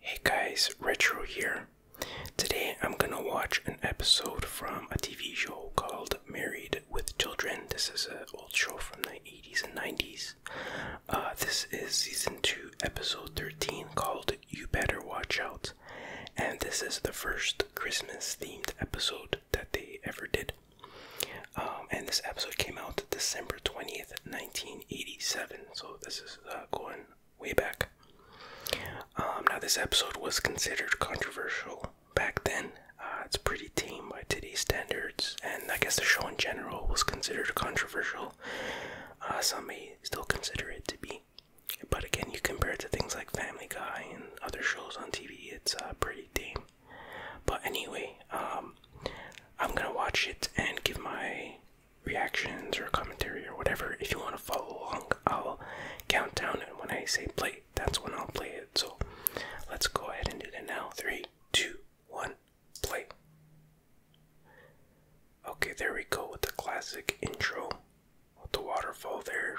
Hey guys, Retro here. Today I'm gonna watch an episode from a TV show called Married with Children. This is an old show from the 80s and 90s. Uh, this is season 2, episode 13, called you Better Watch Out. And this is the first Christmas themed episode that they ever did. Um, and this episode came out December 20th, 1987. So this is uh, going way back. Um, now, this episode was considered controversial back then. Uh, it's pretty tame by today's standards, and I guess the show in general was considered controversial. Uh, some may still consider it to be. But again, you compare it to things like Family Guy and other shows on TV, it's uh, pretty tame. But anyway, um, I'm gonna watch it and give my reactions or commentary or whatever. If you want to follow along, I'll count down, and when I say play, that's when I'll play it. So let's go ahead and do that now. Three, two, one, play. Okay, there we go with the classic intro with the waterfall there.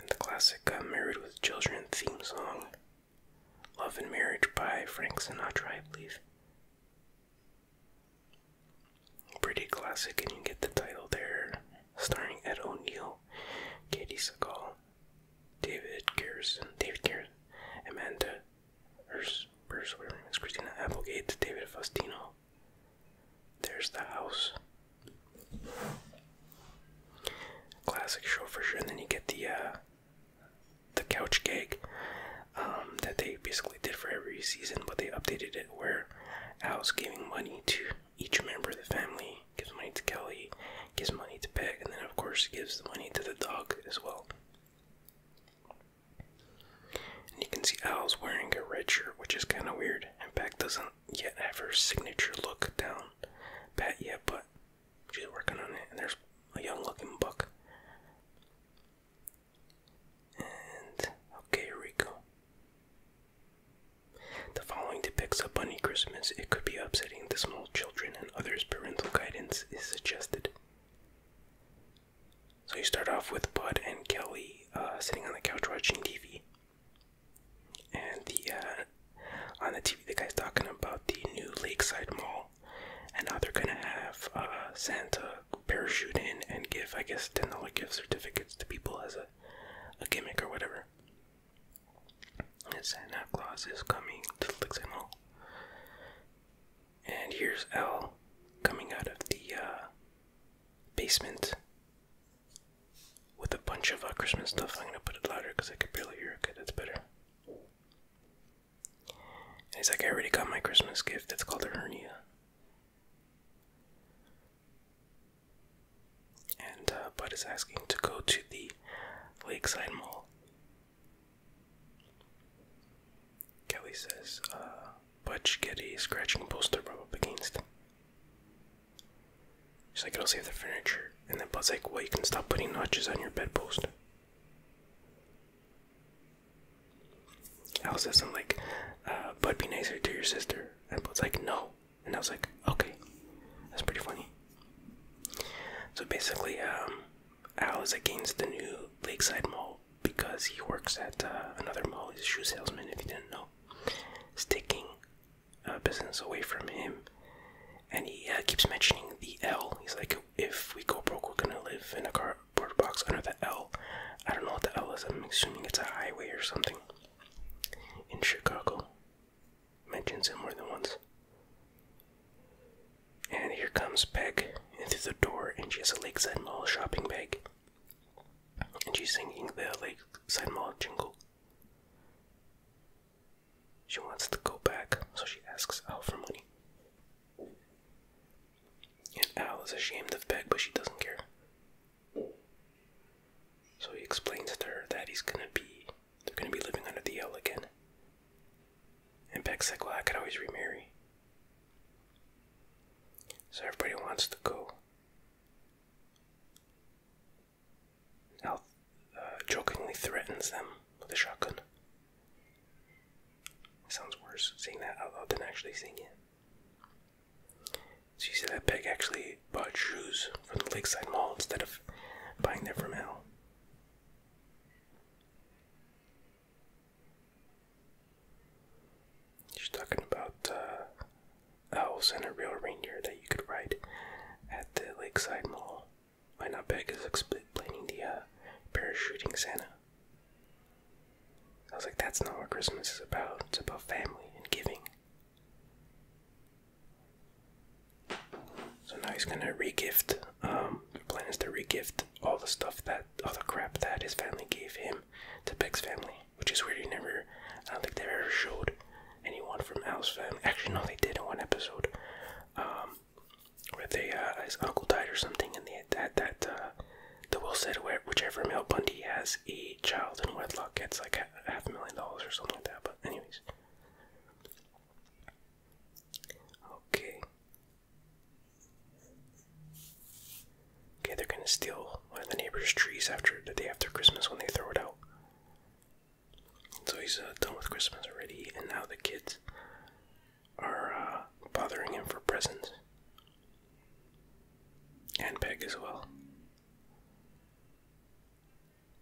And the classic uh, Married with Children theme song. Love and Marriage by Frank Sinatra, I believe. Pretty classic, and you get the title there, starring Ed O'Neill, Katie Sagal, David Garrison, David Garrison, Amanda there's Bruce Williams, Christina Applegate, David Faustino. There's the house. Classic show for sure. And then you get the uh, the couch gag um, that they basically did for every season, but they updated it where Al's giving money to each member of the family, gives money to Kelly, gives money to Peg, and then of course gives the money to the dog as well. And you can see Al's wearing a red shirt, which is kind of weird. And Pat doesn't yet have her signature look down pat yet, but she's working on it. And there's a young looking buck. And, okay, here The following depicts a bunny Christmas. It could be upsetting to small children and others. Parental guidance is suggested. So you start off with Bud and Kelly uh, sitting on the couch watching TV, and the uh, on the TV the guy's talking about the new Lakeside Mall, and now they're gonna have uh, Santa parachute in and give I guess ten dollar gift certificates to people as a a gimmick or whatever. And Santa Claus is coming to Lakeside Mall. And here's L coming out of the uh, basement with a bunch of uh, Christmas stuff. I'm gonna put it louder because I can barely hear. Okay, that's better. And he's like, I already got my Christmas gift. It's called a hernia. And uh, Bud is asking to go to the Lakeside Mall Kelly says, uh, Butch get a scratching poster rub up against. She's like, i will save the furniture. And then Bud's like, well, you can stop putting notches on your bedpost. Al says, I'm like, uh, Bud, be nicer to your sister. And Bud's like, no. And I was like, okay. That's pretty funny. So basically, um, Al is against the new Lakeside Mall because he works at uh, another mall. He's a shoe salesman, if you didn't know. Sticking uh, business away from him. And he uh, keeps mentioning the L. He's like, if we go broke, we're gonna live in a cardboard box under the L. I don't know what the L is. I'm assuming it's a highway or something in Chicago. Mentions it more than once. And here comes Peg in through the door, and she has a Lakeside Mall shopping bag. And she's singing the Lakeside Mall jingle. She wants to go back, so she asks Al for money. And Al is ashamed of Peg, but she doesn't care. So he explains to her that he's gonna be, they're gonna be living under the L again. And Beck's like, well, I could always remarry. So everybody wants to go. Al uh, jokingly threatens them with a shotgun. sounds worse seeing that out loud than actually saying it. She said that Peg actually bought shoes from the Lakeside Mall instead of buying them from Al. She's talking about owls uh, and a real reindeer that you could ride at the Lakeside Mall. Why not Peg is explaining the uh, parachuting Santa. I was like, that's not what Christmas is about. It's about family and giving. So now he's gonna regift. Um, the plan is to regift all the stuff that, all the crap that his family gave him to Beck's family, which is weird. He never, I don't think they ever showed anyone from Al's family. Actually, no, they did in one episode, um, where they uh, his uncle died or something, and they had that that uh, the will said where whichever male Bundy has a child in wedlock gets like half a million dollars or something like that. But anyways. Okay, Okay, they're gonna steal one of the neighbor's trees after the day after Christmas when they throw it out. So he's uh, done with Christmas already, and now the kids are uh, bothering him for presents. And Peg as well.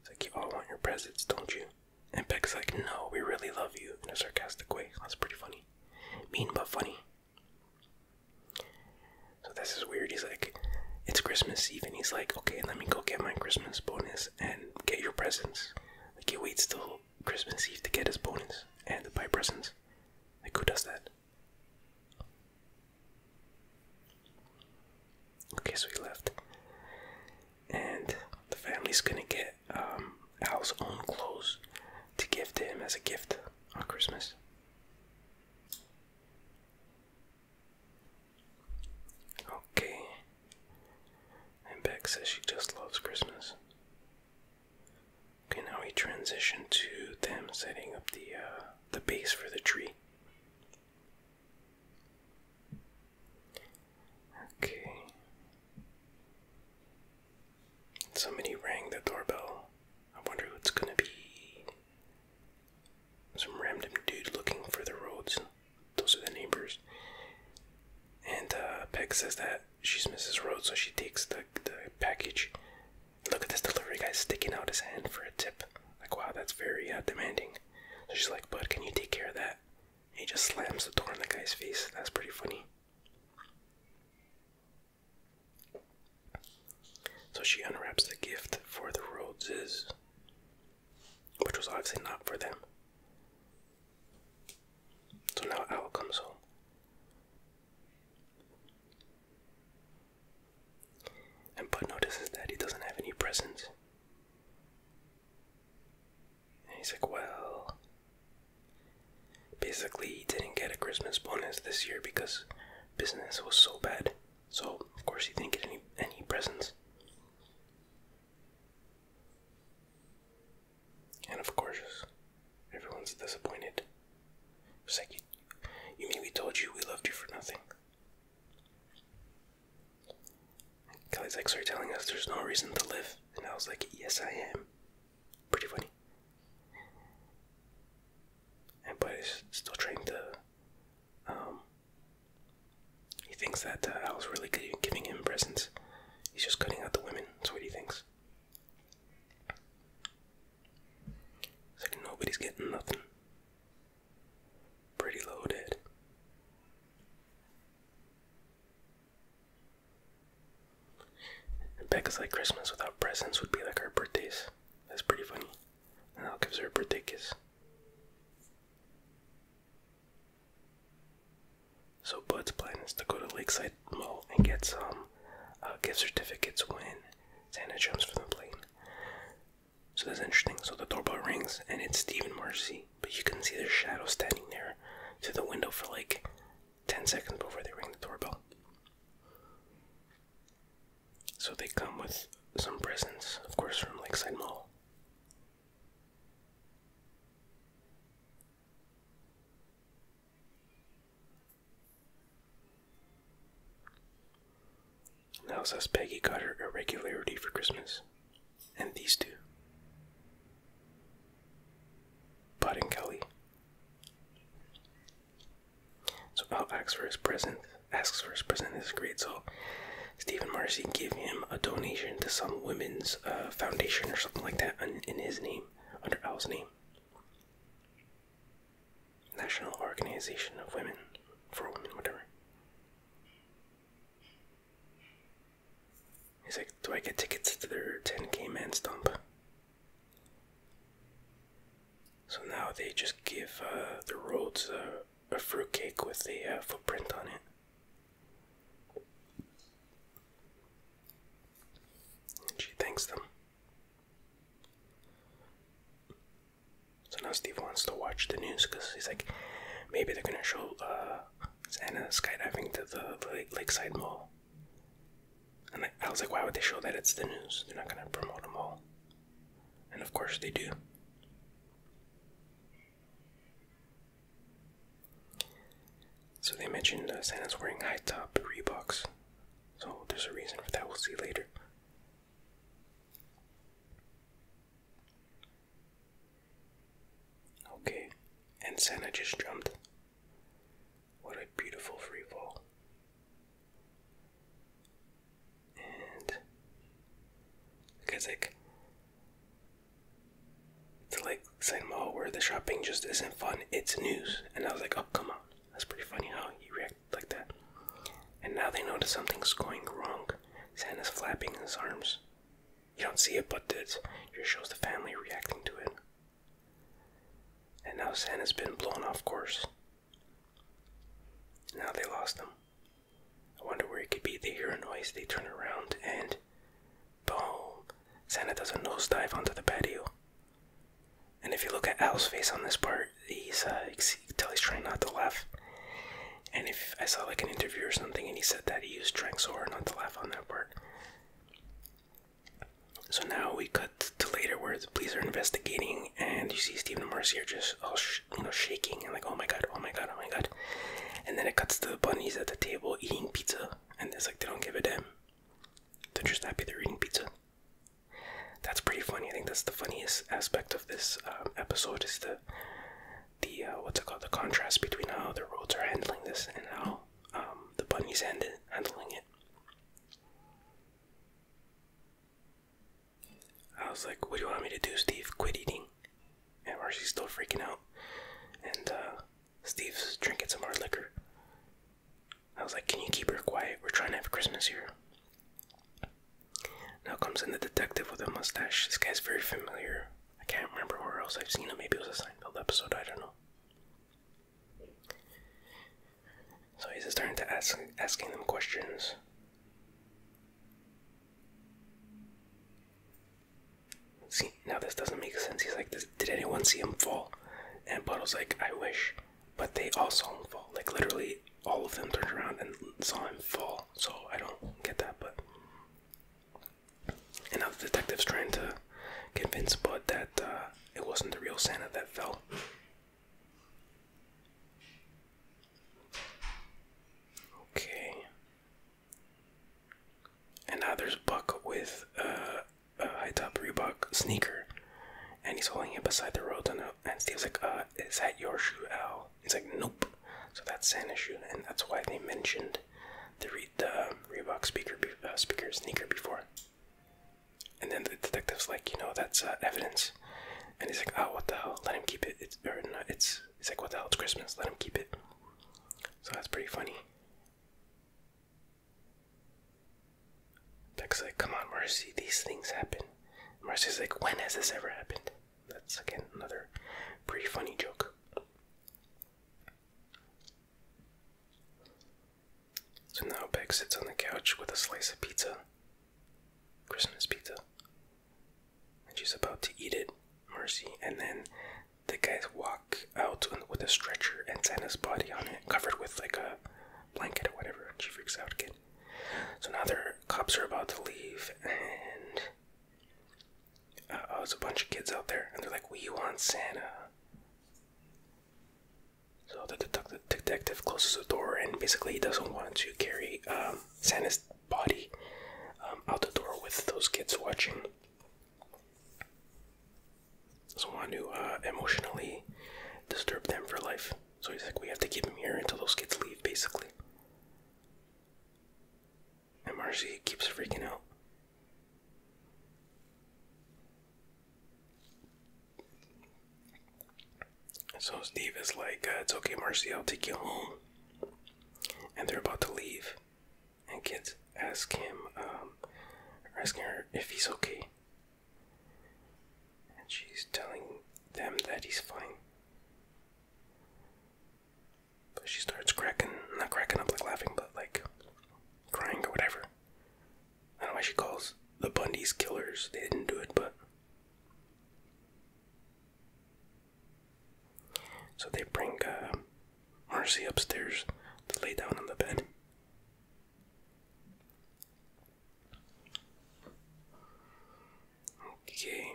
It's like, you all want your presents, don't you? And Peg's like, no, we really love you in a sarcastic way. That's pretty funny. Mean but funny. So this is weird. He's like, it's Christmas Eve, and he's like, okay, let me go get my Christmas bonus and get your presents. Like, he waits till Christmas Eve to get his bonus and to buy presents. Like, who does that? Okay, so he left and the family's gonna get um, Al's own clothes to give to him as a gift on Christmas. Okay. And Beck says she just loves Christmas. Okay, now we transition to them setting up the uh, the base for the tree. Okay. Somebody rang the doorbell. I wonder who it's gonna be. Some random dude looking for the roads. Those are the neighbors. And uh, Peg says that she's Mrs. Rhodes, so she takes the, the package. Look at this delivery guy sticking out his hand for a tip. Like, wow, that's very uh, demanding. So she's like, Bud, can you take care of that? He just slams the door in the guy's face. That's pretty funny. So she unwraps the gift for the Rhodeses, which was obviously not for them. So now Owl comes home. And Bud notices that he doesn't have any presents. And he's like, well, basically, he didn't get a Christmas bonus this year because business was so bad. So, of course, he didn't get any, any presents. And of course, everyone's disappointed. It's like, you, you mean we told you we loved you for nothing? Kelly's like, so are telling us there's no reason to live? And I was like, yes, I am. Pretty funny. And but he's still trying to. Um, he thinks that I uh, was really giving him presents. He's just cutting out the women. That's what he thinks. It's like nobody's getting nothing. Pretty loaded. And like Christmas without presents would be like our birthdays. That's pretty funny. And I'll give her a birthday kiss. So Bud's plan is to go to Lakeside Mall and get some uh, gift certificates when Santa jumps from the plane. So that's interesting. So the doorbell rings and it's Stephen Marcy but you can see their shadow standing there to the window for like 10 seconds before they ring the doorbell. So they come with some presents, of course, from Lakeside Mall. Now says Peggy got her irregularity for Christmas and these two Bud and Kelly. So Al asks for his present, asks for his present. This is great. So Stephen Marcy gave him a donation to some women's uh, foundation or something like that in his name, under Al's name. National Organization of Women, for Women, whatever. He's like, do I get tickets to their 10k man stump? So now they just give uh, the roads a fruitcake with a uh, footprint on it. And she thanks them. So now Steve wants to watch the news because he's like, maybe they're gonna show uh, Anna skydiving to the lakeside mall. And I was like, why would they show that? It's the news. They're not going to promote a mall. And of course they do. So they mentioned uh, Santa's wearing high top Reeboks. So there's a reason for that. We'll see later. Okay, and Santa just jumped. What a beautiful free fall. And like To like Senmo where the shopping just isn't fun, it's news. And I was like, oh come on. That's pretty funny how he reacted like that. And now they notice something's going wrong. Santa's flapping his arms. You don't see it, but it just shows the family reacting to it. And now Santa's been blown off course. Now they lost him. I wonder where he could be. They hear a noise, they turn around, and boom! Santa does a dive onto the patio. And if you look at Al's face on this part, he's, uh, you tell he's trying not to laugh. And if I saw like an interview or something and he said that he used Tranxor, not to laugh on that part. So now we cut to later where the police are investigating, and you see Stephen Mercier just all you know shaking and like, oh my god, oh my god, oh my god. And then it cuts to the bunnies at the table eating pizza, and it's like they don't give a damn. They're just happy they're eating pizza. That's pretty funny. I think that's the funniest aspect of this um, episode is the the uh, what's it called the contrast between how the roads are handling this and how um, the bunnies hand handling it. I was like, "What do you want me to do, Steve? Quit eating?" And Marcy's still freaking out, and uh, Steve's drinking some hard liquor. I was like, "Can you keep her quiet? We're trying to have Christmas here." Now comes in the detective with a mustache. This guy's very familiar. I can't remember where else I've seen him. Maybe it was a Seinfeld episode, I don't know. So he's starting to ask asking them questions. See, now this doesn't make sense. He's like, did anyone see him fall? And Buttle's like, I wish. But they also fall. Like, literally, all of them turned around and saw him fall. So I don't get that, but and now the detective's trying to convince Bud that uh, it wasn't the real Santa that fell. Okay. And now there's Buck with uh, a high top Reebok sneaker. And he's holding it beside the road. And, uh, Steve's like, uh, Is that your shoe, Al? all. He's like, nope. So that's an issue, and that's why they mentioned the read the Reebok speaker uh, speaker sneaker before. And then the detective's like, you know, that's uh, evidence. And he's like, oh, what the hell? Let him keep it. It's no, it's. He's like, what the hell? It's Christmas. Let him keep it. So that's pretty funny. Beck's like, come on, Marcy. These things happen. Marcy's like, when has this ever happened? that's again another pretty funny joke. So now Beck sits on the couch with a slice of pizza, Christmas pizza, and she's about to eat it, Mercy, and then the guys walk out with a stretcher and Santa's body on it, covered with like a blanket or whatever, she freaks out again. So now the cops are about to leave, and uh oh, there's a bunch of kids out there, and they're like, "We want Santa." So the detective closes the door, and basically he doesn't want to carry um, Santa's body um, out the door with those kids watching. Doesn't want to uh, emotionally disturb them for life. So he's like, "We have to keep him here until those kids leave." Basically. And Marcy keeps freaking out. So Steve is like, uh, it's okay, Marcy, I'll take you home. And they're about to leave. And kids ask him, um, asking her if he's okay. And she's telling them that he's fine. But she starts cracking, not cracking up like laughing, but like crying or whatever. I don't know why she calls the Bundys killers. They didn't do it, but. So they bring uh, Marcy upstairs to lay down on the bed. Okay.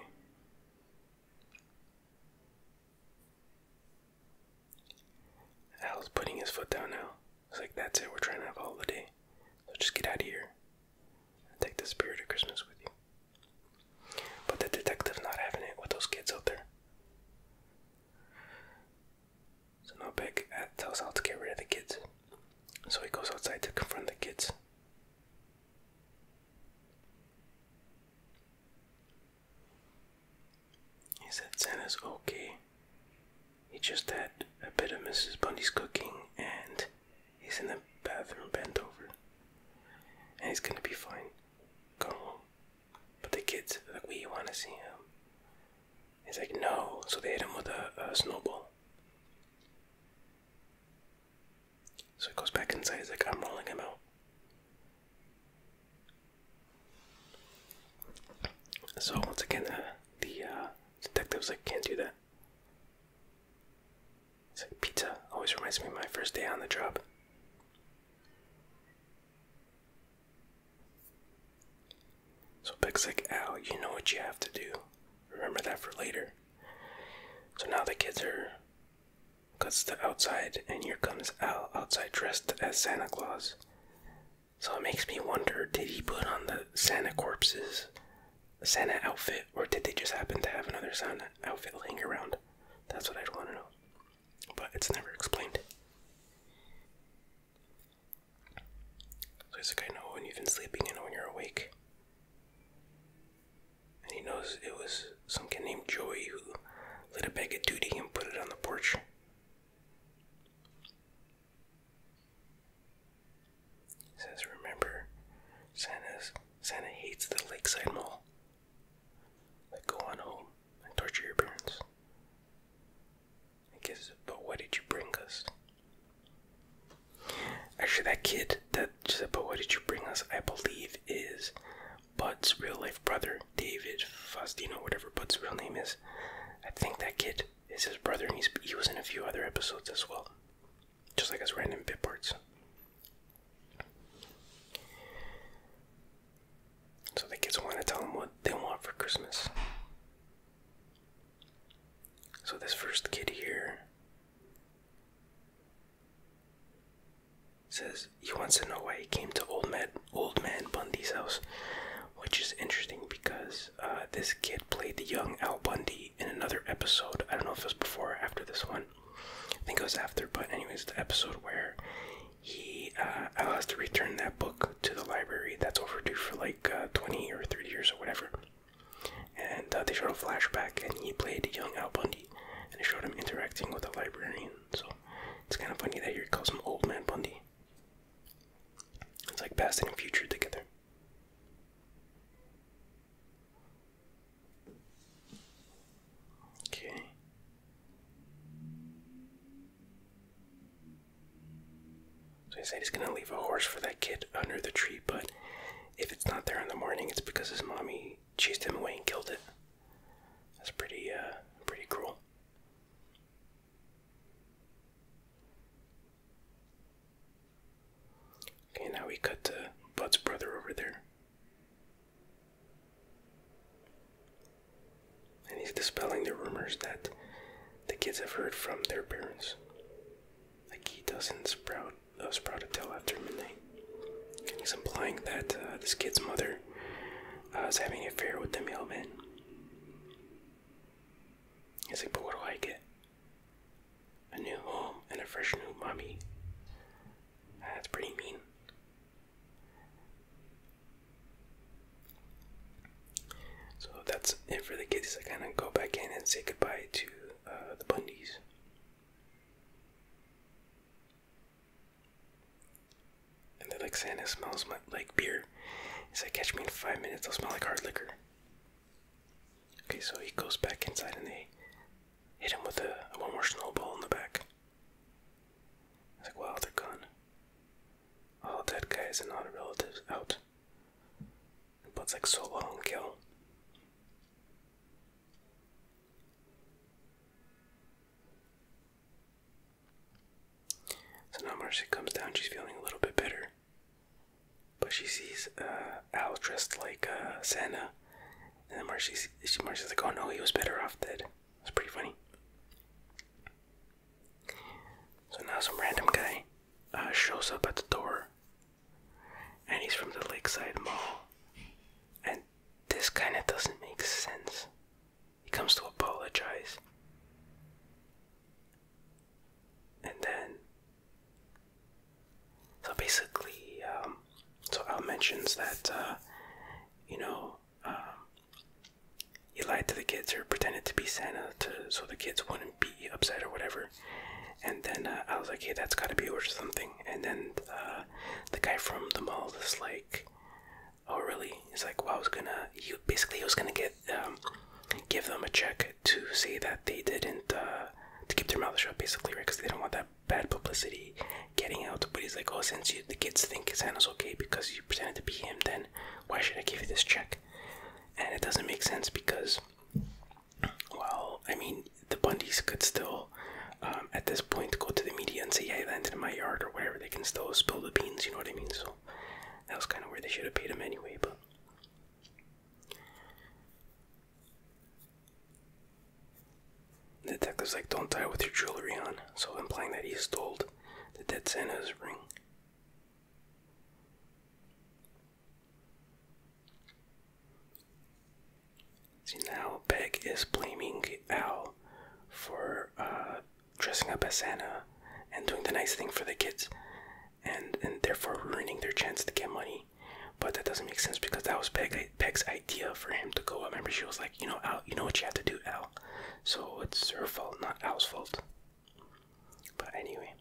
Al's putting his foot down now. It's like, that's it, we're trying to have a holiday. So just get out of here. And take the spirit of Christmas with you. But the detective's not having it with those kids out there. So now Big Beck uh, tells Al to get rid of the kids. So he goes outside to confront the kids. He said Santa's okay. He just had a bit of Mrs. Bundy's cooking and he's in the bathroom bent over. And he's gonna be fine. Go home. But the kids like, we wanna see him. He's like, no. So they hit him with a snowball. So he goes back inside. He's like, I'm rolling him out. So once again, uh, the uh, detective's like, can't do that. pizza always reminds me of my first day on the job. So Peg's like, ow, you know what you have to do. Remember that for later. So now the kids are cuts to outside, and here comes Al outside dressed as Santa Claus. So it makes me wonder did he put on the Santa corpses Santa outfit, or did they just happen to have another Santa outfit laying around? That's what I'd want to know. But it's never explained. So it's like I know when you've been sleeping and when you're awake. And he knows it was some kid named Joey who lit a bag of duty and put it on the porch. He says, Remember, Santa's, Santa hates the Lakeside Mall. Like, go on home and torture your parents. I guess, but why did you bring us? Actually, that kid that said, "But what did you bring us? I believe is Bud's real life brother, David Faustino, whatever Bud's real name is. I think that kid is his brother, and he's, he was in a few other episodes as well, just like as random bit parts. So the kids want to tell him what they want for Christmas. So this first kid here Says he wants to know why he came to old man old man Bundy's house, which is interesting because uh, this kid played the young Al Bundy in another episode. I don't know if it was before or after this one. I think it was after, but anyways, the episode where he uh, Al has to return that book to the library that's overdue for like uh, 20 or 30 years or whatever. And uh, they showed a flashback, and he played young Al Bundy, and they showed him interacting with a librarian. So it's kind of funny that you calls him Old Man Bundy. It's like past and future together. Okay. So he said he's gonna leave a horse for that kid under the tree, but if it's not there in the morning, it's because his mommy chased him away and killed it. That's pretty, uh, pretty cruel. Okay, now we cut to Bud's brother over there. And he's dispelling the rumors that the kids have heard from their parents. Like he doesn't sprout I was proud to tell after midnight. he's implying that uh, this kid's mother uh, is having an affair with the mailman. He's like, but what do I get? A new home and a fresh new mommy. Ah, that's pretty mean. So that's it for the kids. I kind of go back in and say goodbye to uh, the Bundys. And they're like, Santa smells my, like beer. He said, catch me in five minutes, I'll smell like hard liquor. Okay, so he goes back inside and they hit him with a, a one more snowball in the back. It's like, wow, they're gone. All dead guys and not relatives out. But it's like so long kill. So now Marcy comes down, she's feeling a little bit better. But she sees uh, Al dressed like uh, Santa. And then Marcy's, she, Marcy's like, oh no, he was better off dead. It's pretty funny. So now some random guy uh, shows up at the door and he's from the Lakeside Mall. And this kind of doesn't make sense. He comes to apologize. And then. So basically, um, so Al mentions that, uh, you know, um, he lied to the kids or pretended to be Santa to, so the kids wouldn't be upset or whatever. And then uh, I was like, hey, that's gotta be yours or something. And then uh, the guy from the mall was like, oh really? He's like, well, I was gonna, you basically, he was gonna get, um, give them a check to say that they didn't, uh, to keep their mouths shut, basically, right? Because they don't want that bad publicity getting out. But he's like, oh, since you, the kids think Santa's okay because you pretended to be him, then why should I give you this check? And it doesn't make sense because well, I mean, the Bundys could still, um, at this point, go to the media and say, "Yeah, it landed in my yard" or whatever. They can still spill the beans. You know what I mean? So that was kind of where they should have paid him anyway. But the is like, "Don't die with your jewelry on," so implying that he stole the dead Santa's ring. See now, Peg is blaming Al for uh, dressing up as Santa and doing the nice thing for the kids, and and therefore ruining their chance to get money. But that doesn't make sense because that was Peg, Peg's idea for him to go. I remember she was like, you know, Al, you know what you have to do, Al. So it's her fault, not Al's fault. But anyway,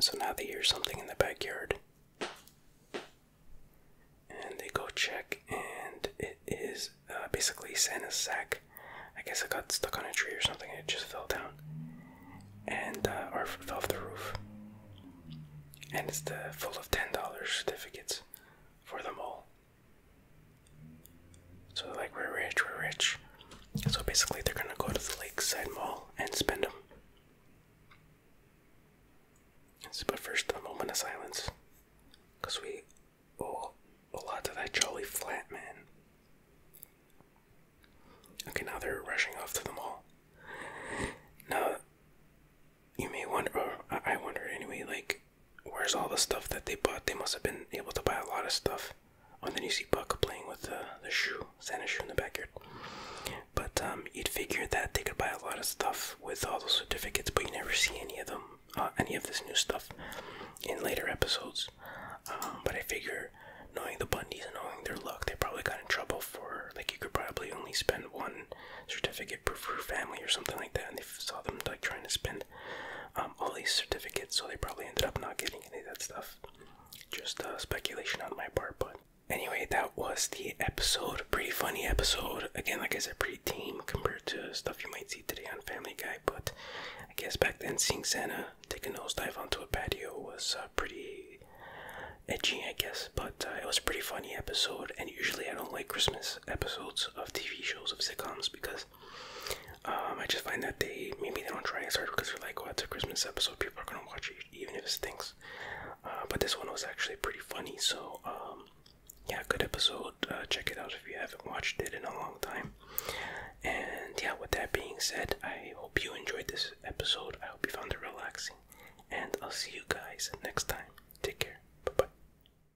so now they hear something in the backyard. And they go check, and it is uh, basically Santa's sack. I guess it got stuck on a tree or something, and it just fell down. And, uh, fell off the roof. And it's the full of $10 certificates for them all. So they're like, we're rich, we're rich. So basically, they're gonna go to the lakeside mall and spend them. But first, a moment of silence. Because we owe a lot to that jolly flat man. Okay, now they're rushing off to the mall. Now, you may wonder, I wonder anyway, like, where's all the stuff that they bought? They must have been able to buy a lot of stuff. Oh, and then you see Buck playing with uh, the shoe, Santa's shoe in the backyard. But um, you'd figure that they could buy a lot of stuff with all those certificates, but you never see any of them, uh, any of this new stuff in later episodes. Um, but I figure, knowing the Bundys and knowing their luck, they probably got in trouble for like you could probably only spend one certificate per family or something like that, and they saw them like trying to spend. Um, all these certificates, so they probably ended up not getting any of that stuff. Just uh, speculation on my part, but anyway, that was the episode. Pretty funny episode. Again, like I said, pretty tame compared to stuff you might see today on Family Guy, but I guess back then seeing Santa take a nosedive onto a patio was uh, pretty edgy, I guess, but uh, it was a pretty funny episode. And usually, I don't like Christmas episodes of TV shows of sitcoms because um, I just find that they maybe they don't try as hard because they're like, well, it's a Christmas episode, people are gonna watch it even if it stinks. Uh, but this one was actually pretty funny, so um, yeah, good episode. Uh, check it out if you haven't watched it in a long time. And yeah, with that being said, I hope you enjoyed this episode. I hope you found it relaxing, and I'll see you guys next time. Take care. Bye bye.